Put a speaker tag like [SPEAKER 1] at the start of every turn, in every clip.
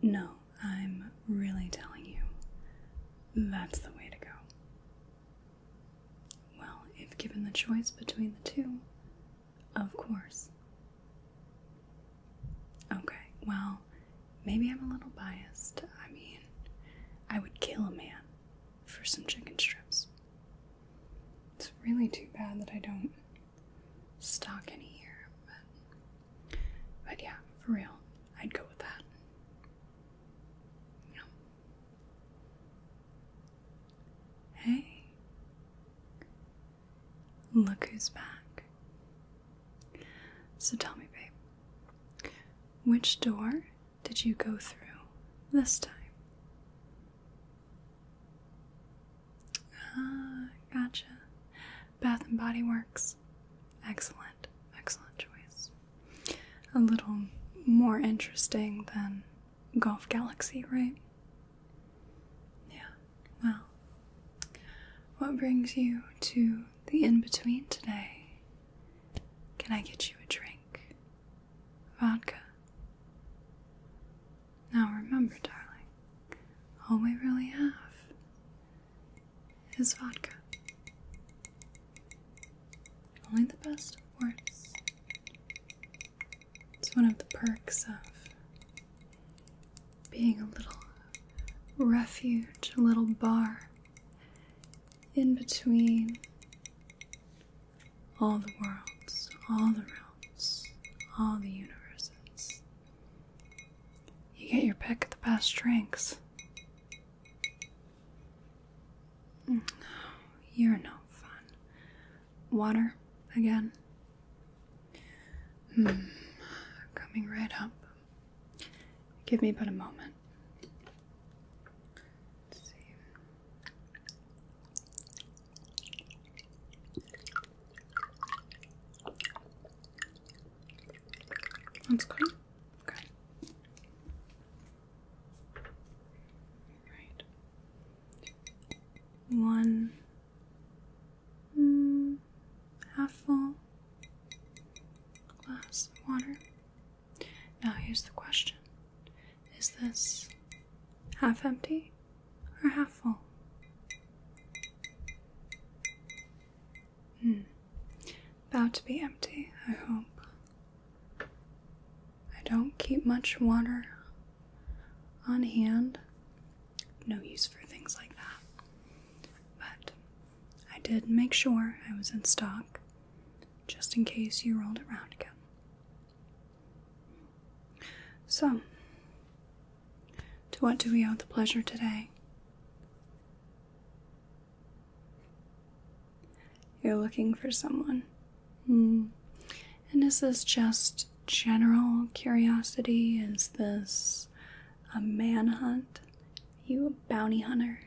[SPEAKER 1] No, I'm really telling you, that's the way to go. Well, if given the choice between the two, of course. Okay, well, maybe I'm a little biased. I mean, I would kill a man for some chicken strips. It's really too bad that I don't stock any here, but but yeah, for real, I'd go with that. Hey. Look who's back. So tell me, babe, which door did you go through this time? Ah, gotcha. Bath and Body Works. Excellent, excellent choice. A little more interesting than Golf Galaxy, right? Yeah, well, what brings you to the in between today. Can I get you a drink? Vodka. Now remember, darling, all we really have is vodka. Only the best, of course. It's one of the perks of being a little refuge, a little bar in between all the worlds, all the realms, all the universes. You get your pick of the best drinks. Mm, you're no fun. Water again. Mm, coming right up. Give me but a moment. That's good. Okay. All right. One, Mm, half full glass of water. Now, here's the question Is this half empty or half full? Hmm, about to be empty, I hope. I don't keep much water on hand no use for things like that. But I did make sure I was in stock just in case you rolled around again. So, to what do we owe the pleasure today? You're looking for someone. Mm. And is this just general curiosity? Is this a manhunt. You a bounty hunter.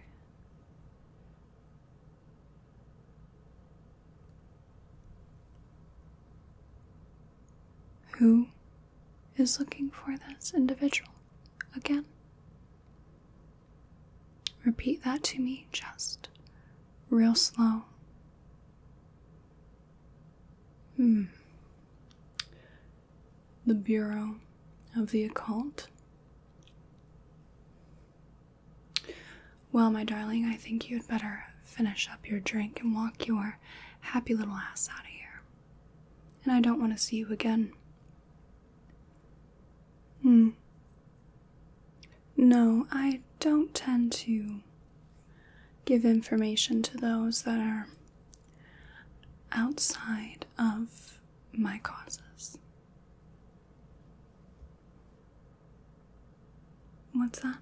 [SPEAKER 1] Who is looking for this individual again? Repeat that to me just real slow. Hmm the Bureau of the Occult. Well, my darling, I think you had better finish up your drink and walk your happy little ass out of here. And I don't want to see you again. Hmm. No, I don't tend to give information to those that are outside of my causes. What's that?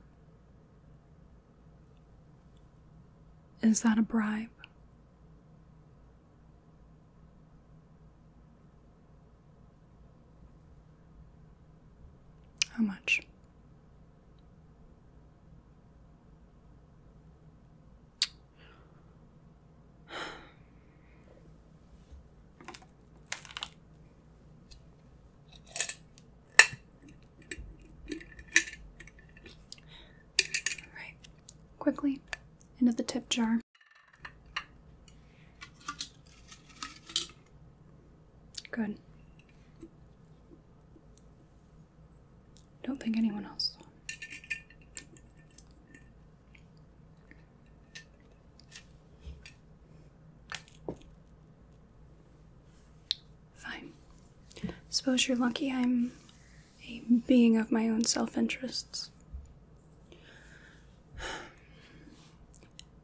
[SPEAKER 1] Is that a bribe? How much? All right, quickly into the tip jar. Good. Don't think anyone else saw. Fine. Suppose you're lucky I'm a being of my own self interests.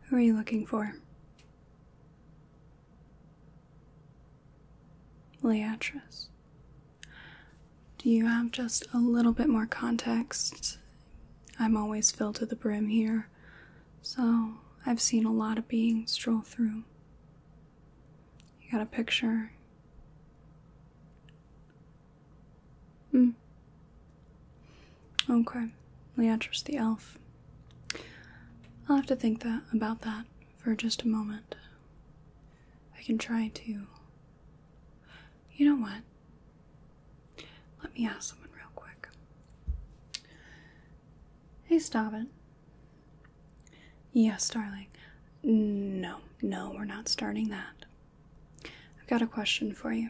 [SPEAKER 1] Who are you looking for? Leatrice, do you have just a little bit more context? I'm always filled to the brim here, so I've seen a lot of beings stroll through. You got a picture? Hmm. Okay, Leatrice the elf. I'll have to think that about that for just a moment. I can try to. You know what? Let me ask someone real quick. Hey, stop it. Yes, darling. No, no, we're not starting that. I've got a question for you.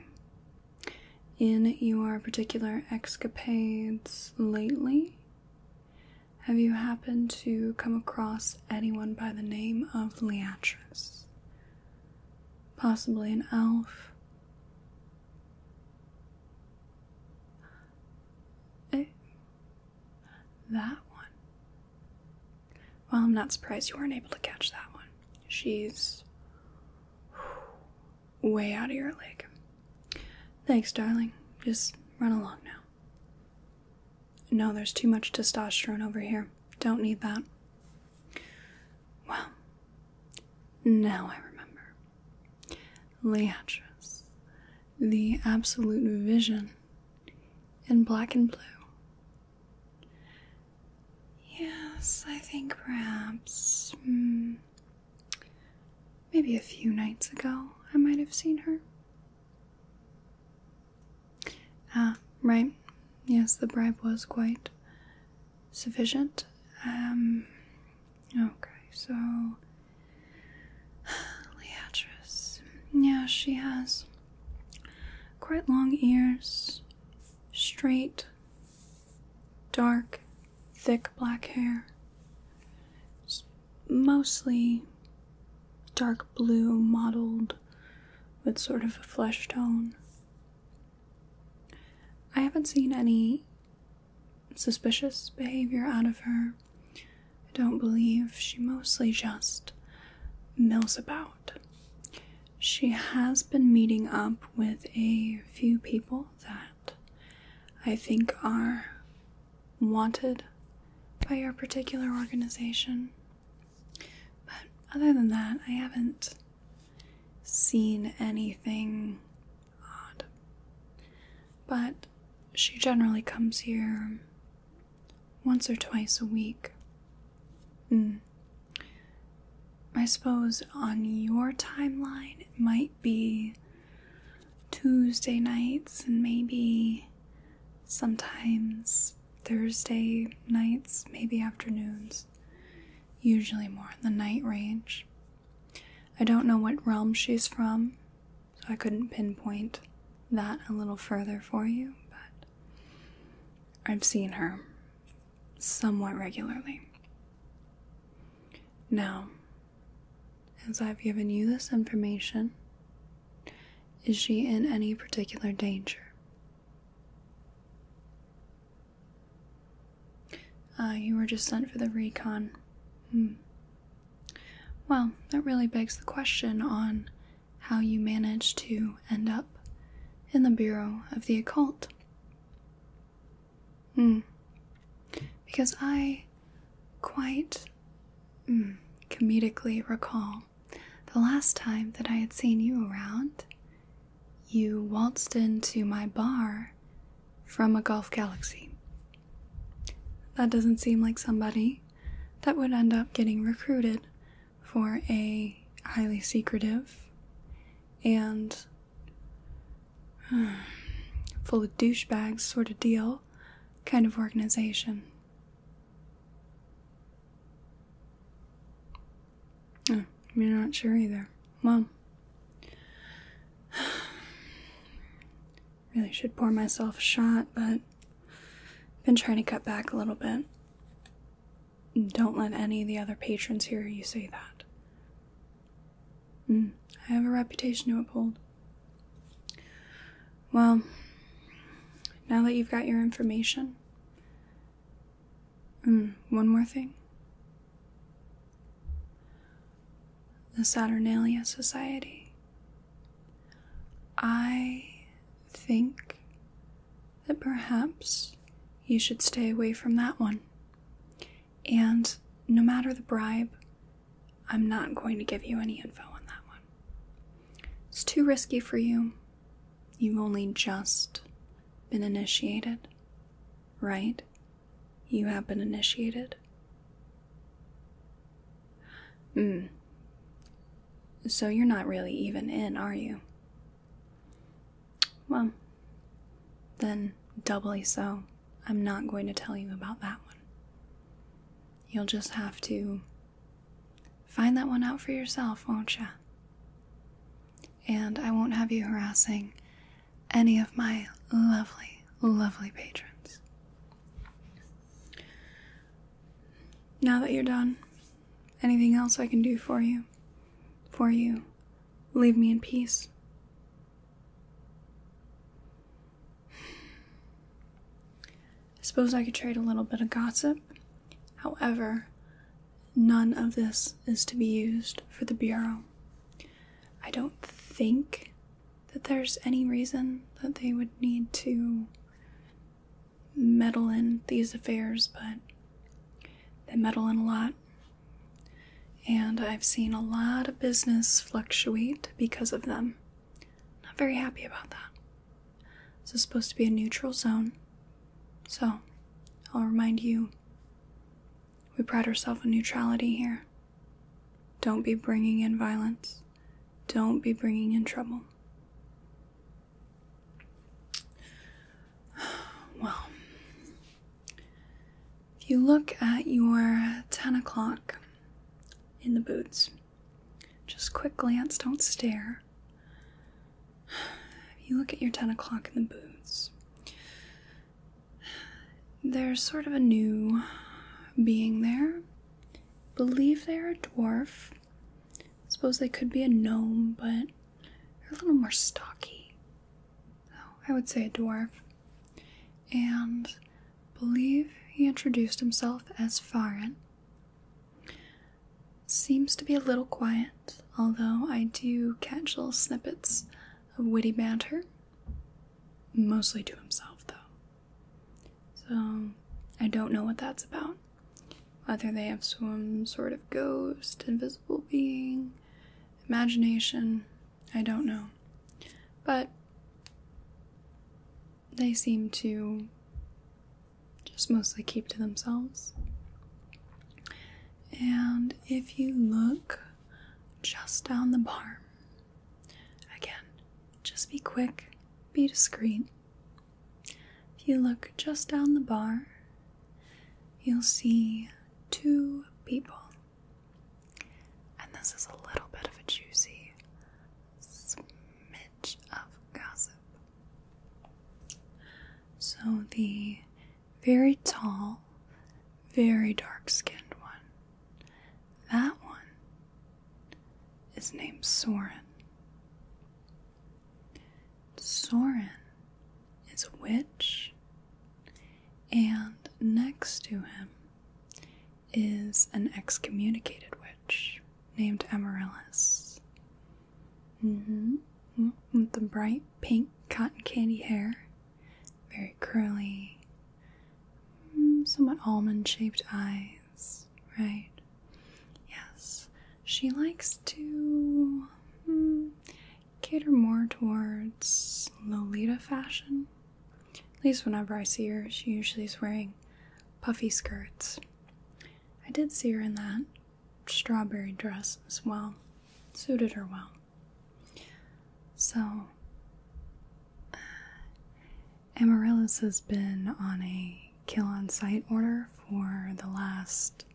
[SPEAKER 1] In your particular escapades lately, have you happened to come across anyone by the name of Leatrice? Possibly an elf? Eh? That one. Well, I'm not surprised you weren't able to catch that one. She's way out of your leg. Thanks, darling. Just run along now. No, there's too much testosterone over here. Don't need that. Well, now I remember. Leatrice, the absolute vision in black and blue. Yes, I think perhaps. Mm, Maybe a few nights ago, I might have seen her. Ah, right. Yes, the bribe was quite sufficient. Um, okay, so. Leatrice. Yeah, she has quite long ears, straight, dark thick black hair. mostly dark blue, mottled with sort of a flesh tone. I haven't seen any suspicious behavior out of her. I don't believe she mostly just mills about. She has been meeting up with a few people that I think are wanted by your particular organization. But other than that, I haven't seen anything odd. But she generally comes here once or twice a week. Hmm. I suppose on your timeline it might be Tuesday nights and maybe sometimes Thursday nights, maybe afternoons. Usually more in the night range. I don't know what realm she's from, so I couldn't pinpoint that a little further for you, but I've seen her somewhat regularly. Now, as I've given you this information, is she in any particular danger? Ah, you were just sent for the recon. Hmm. Well, that really begs the question on how you managed to end up in the Bureau of the Occult. Hmm. Because I quite hmm, comedically recall the last time that I had seen you around, you waltzed into my bar from a golf galaxy. That doesn't seem like somebody that would end up getting recruited for a highly secretive and Full of douchebags, sort of deal, kind of organization. Oh, you're not sure either. Well, really should pour myself a shot, but been trying to cut back a little bit. Don't let any of the other patrons hear you say that. Hmm, I have a reputation to uphold. Well, now that you've got your information, hmm, one more thing. The Saturnalia Society. I think that perhaps you should stay away from that one. And no matter the bribe, I'm not going to give you any info on that one. It's too risky for you. You've only just been initiated, right? You have been initiated. Hmm. So you're not really even in, are you? Well, then doubly so, I'm not going to tell you about that one. You'll just have to find that one out for yourself, won't you? And I won't have you harassing any of my lovely, lovely patrons. Now that you're done, anything else I can do for you? For you? leave me in peace. I suppose I could trade a little bit of gossip. However, none of this is to be used for the Bureau. I don't think that there's any reason that they would need to meddle in these affairs, but they meddle in a lot, and I've seen a lot of business fluctuate because of them. Not very happy about that. This is supposed to be a neutral zone. So, I'll remind you we pride ourselves on neutrality here. Don't be bringing in violence, don't be bringing in trouble. Well, if you look at your 10 o'clock in the boots, just quick glance, don't stare. If you look at your 10 o'clock in the boots, there's sort of a new being there. Believe they're a dwarf. I suppose they could be a gnome, but they're a little more stocky. I would say a dwarf, and believe he introduced himself as Farin. Seems to be a little quiet, although I do catch little snippets of witty banter. Mostly to himself, though. So I don't know what that's about. Whether they have some sort of ghost, invisible being, imagination, I don't know. But they seem to just mostly keep to themselves. And if you look just down the bar, again, just be quick, be discreet. If you look just down the bar, you'll see two people. And this is a little bit of a juicy smidge of gossip. So, the very tall, very dark skinned one, that one is named Soren. Soren is a witch, and next to him is an excommunicated witch named Amaryllis. Mm-hmm. With the bright pink cotton candy hair, very curly, mm, somewhat almond shaped eyes, right? Yes, she likes to hmm, cater more towards Lolita fashion. At least whenever I see her, she usually is wearing puffy skirts. I did see her in that strawberry dress as well, suited her well. So, uh, Amaryllis has been on a kill on site order for the last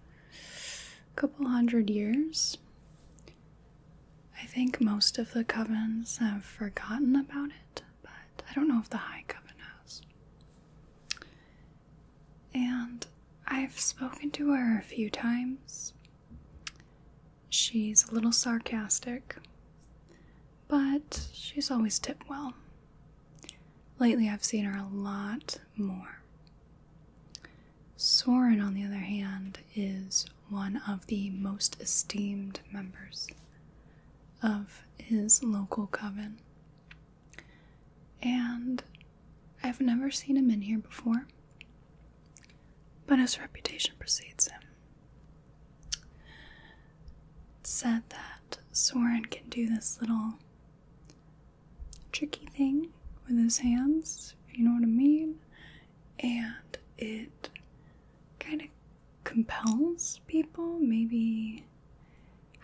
[SPEAKER 1] a couple hundred years. I think most of the covens have forgotten about it, but I don't know if the High Coven has. And I've spoken to her a few times. She's a little sarcastic, but she's always tipped well. Lately, I've seen her a lot more. Soren, on the other hand, is one of the most esteemed members of his local coven. And I've never seen him in here before, but his reputation precedes him. said that Soren can do this little tricky thing with his hands, you know what I mean, and it kind of compels people. Maybe,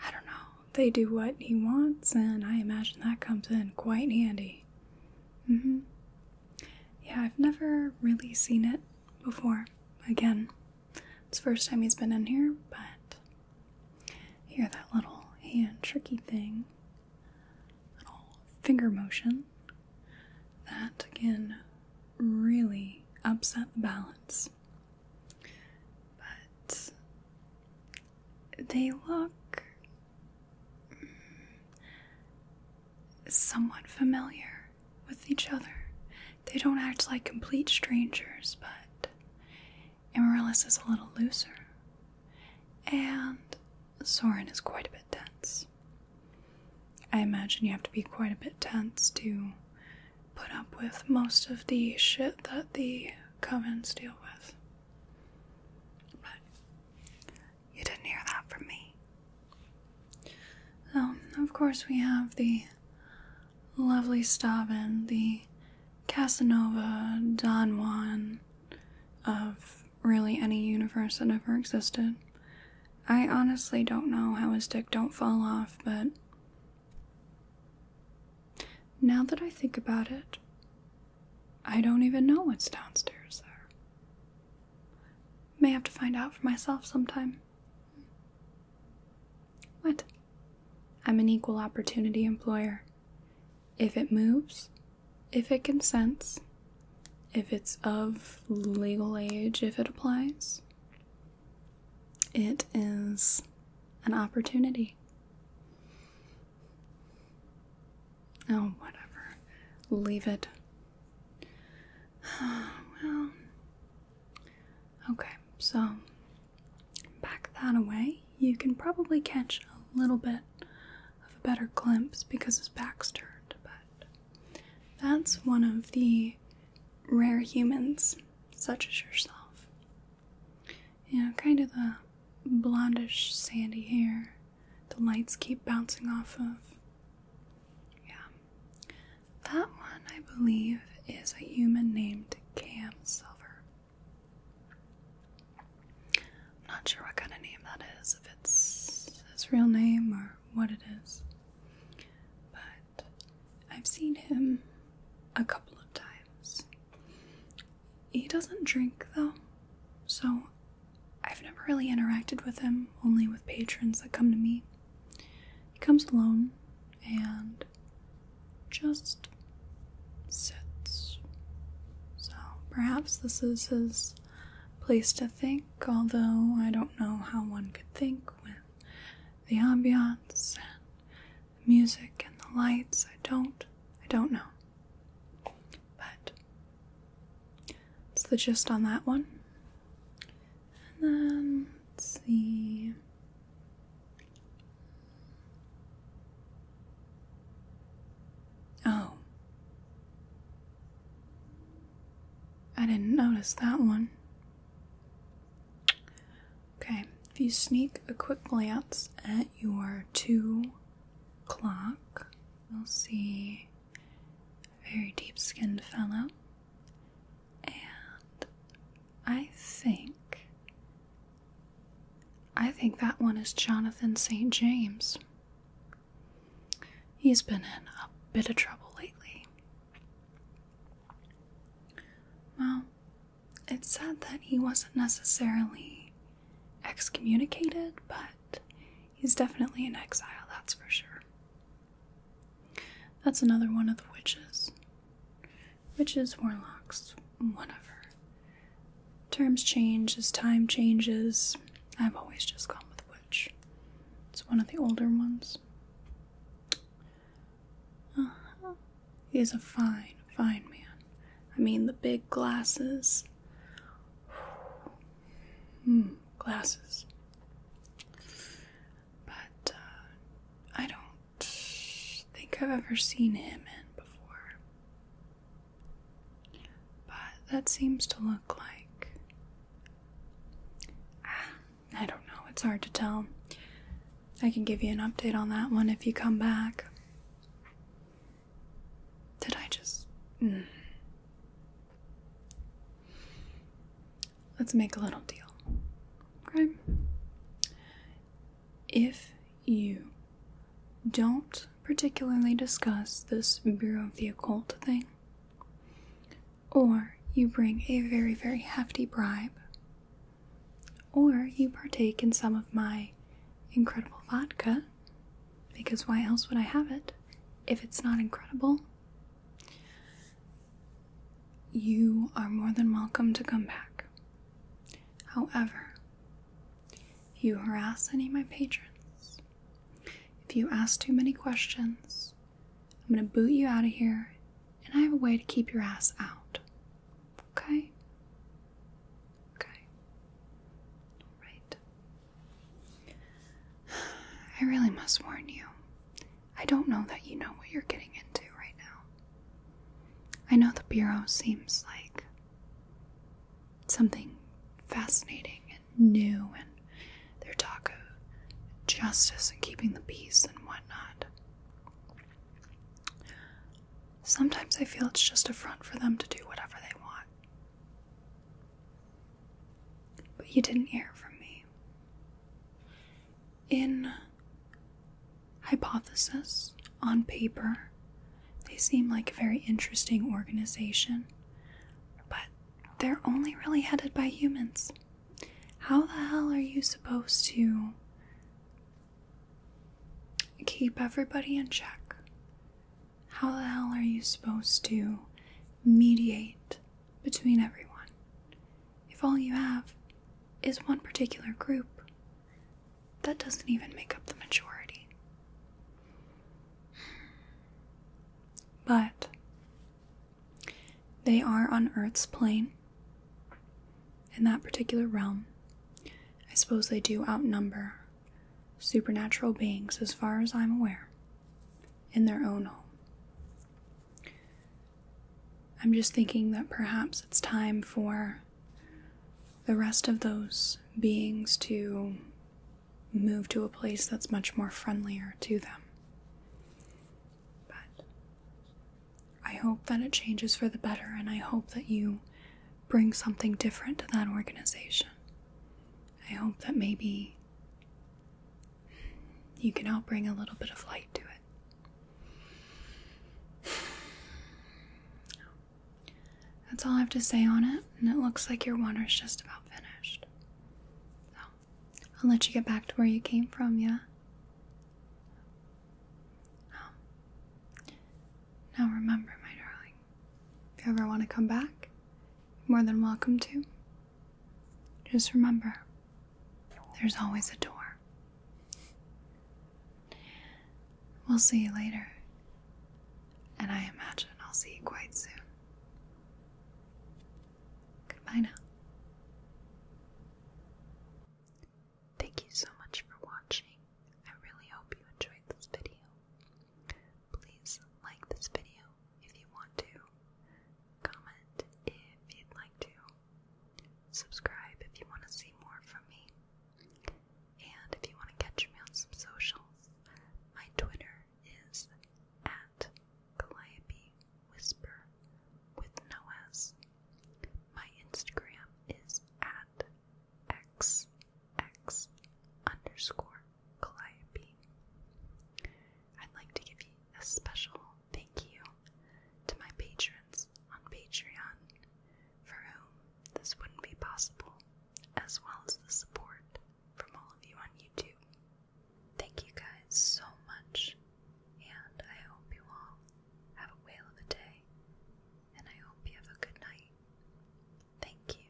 [SPEAKER 1] I don't know, they do what he wants, and I imagine that comes in quite handy. Mm hmm. Yeah, I've never really seen it before. Again, it's first time he's been in here, but here, that little hand tricky thing, little finger motion. That again, really upset the balance. But they look mm, somewhat familiar with each other. They don't act like complete strangers, but Amaryllis is a little looser, and Soren is quite a bit tense. I imagine you have to be quite a bit tense to put up with most of the shit that the covens deal with. But you didn't hear that from me. Um, of course, we have the lovely Stavin, the Casanova, Don Juan, of really any universe that ever existed. I honestly don't know how his dick don't fall off, but now that I think about it, I don't even know what's downstairs there. May have to find out for myself sometime. What? I'm an equal opportunity employer. If it moves, if it consents, if it's of legal age, if it applies, it is an opportunity. Oh, whatever. Leave it. well, okay, so back that away, you can probably catch a little bit of a better glimpse because his back's turned, but that's one of the rare humans, such as yourself. You know, kind of the blondish sandy hair the lights keep bouncing off of. Yeah. That one, I believe, is a human named Cam Silver. I'm not sure what kind of name that is, if it's his real name or what it is. But I've seen him a couple of times. He doesn't drink though, so I've never really interacted with him, only with patrons that come to me. He comes alone, and just sits. So perhaps this is his place to think, although I don't know how one could think with the ambiance and the music and the lights. I don't I don't know. But it's the gist on that one. And then let's see. Oh. I didn't notice that one. Okay, if you sneak a quick glance at your two clock, you'll see a very deep skinned fellow. And I think I think that one is Jonathan St. James. He's been in a bit of trouble lately. Well, it's said that he wasn't necessarily excommunicated, but he's definitely in exile, that's for sure. That's another one of the witches. Which is warlocks, whatever. Terms change as time changes. I've always just gone with which. It's one of the older ones. Uh-huh. He's a fine, fine man. I mean, the big glasses. Hmm, glasses. But uh, I don't think I've ever seen him in before. But that seems to look like. Ah, I don't know, it's hard to tell. I can give you an update on that one if you come back. Did I just. Hmm. Let's make a little deal. Okay? if you don't particularly discuss this Bureau of the Occult thing, or you bring a very, very hefty bribe, or you partake in some of my incredible vodka, because why else would I have it if it's not incredible? you are more than welcome to come back. However, if you harass any of my patrons, if you ask too many questions, I'm going to boot you out of here, and I have a way to keep your ass out. Okay? Okay. Alright. I really must warn you. I don't know that you know what you're getting into right now. I know the Bureau seems like something fascinating and new, and their talk of justice and keeping the peace and whatnot. Sometimes I feel it's just a front for them to do whatever they want. But you didn't hear from me in hypothesis, on paper, they seem like a very interesting organization, but they're only really headed by humans. How the hell are you supposed to keep everybody in check? How the hell are you supposed to mediate between everyone? if all you have is one particular group, that doesn't even make up the majority. But they are on Earth's plane, in that particular realm. I suppose they do outnumber supernatural beings, as far as I'm aware, in their own home. I'm just thinking that perhaps it's time for the rest of those beings to move to a place that's much more friendlier to them. But I hope that it changes for the better, and I hope that you bring something different to that organization. I hope that maybe you can help bring a little bit of light to it. That's all I have to say on it, and it looks like your water's just about finished. So, I'll let you get back to where you came from, yeah? Oh. Now remember, my darling, if you ever want to come back, more than welcome to. Just remember, there's always a door. We'll see you later, and I imagine I'll see you quite soon. Goodbye now. Thank you so much for watching. I really hope you enjoyed this video. Please like this video if you want to. Comment if you'd like to. Subscribe if you want to see more from me. And if you want to catch me on some socials, my Twitter is at Calliope Whisper with no My Instagram is at XX underscore Calliope. I'd like to give you a special thank you to my patrons on Patreon, for whom this wouldn't be possible, as well as the support from all of you on YouTube. Thank you guys so much, and I hope you all have a whale of a day, and I hope you have a good night. Thank you.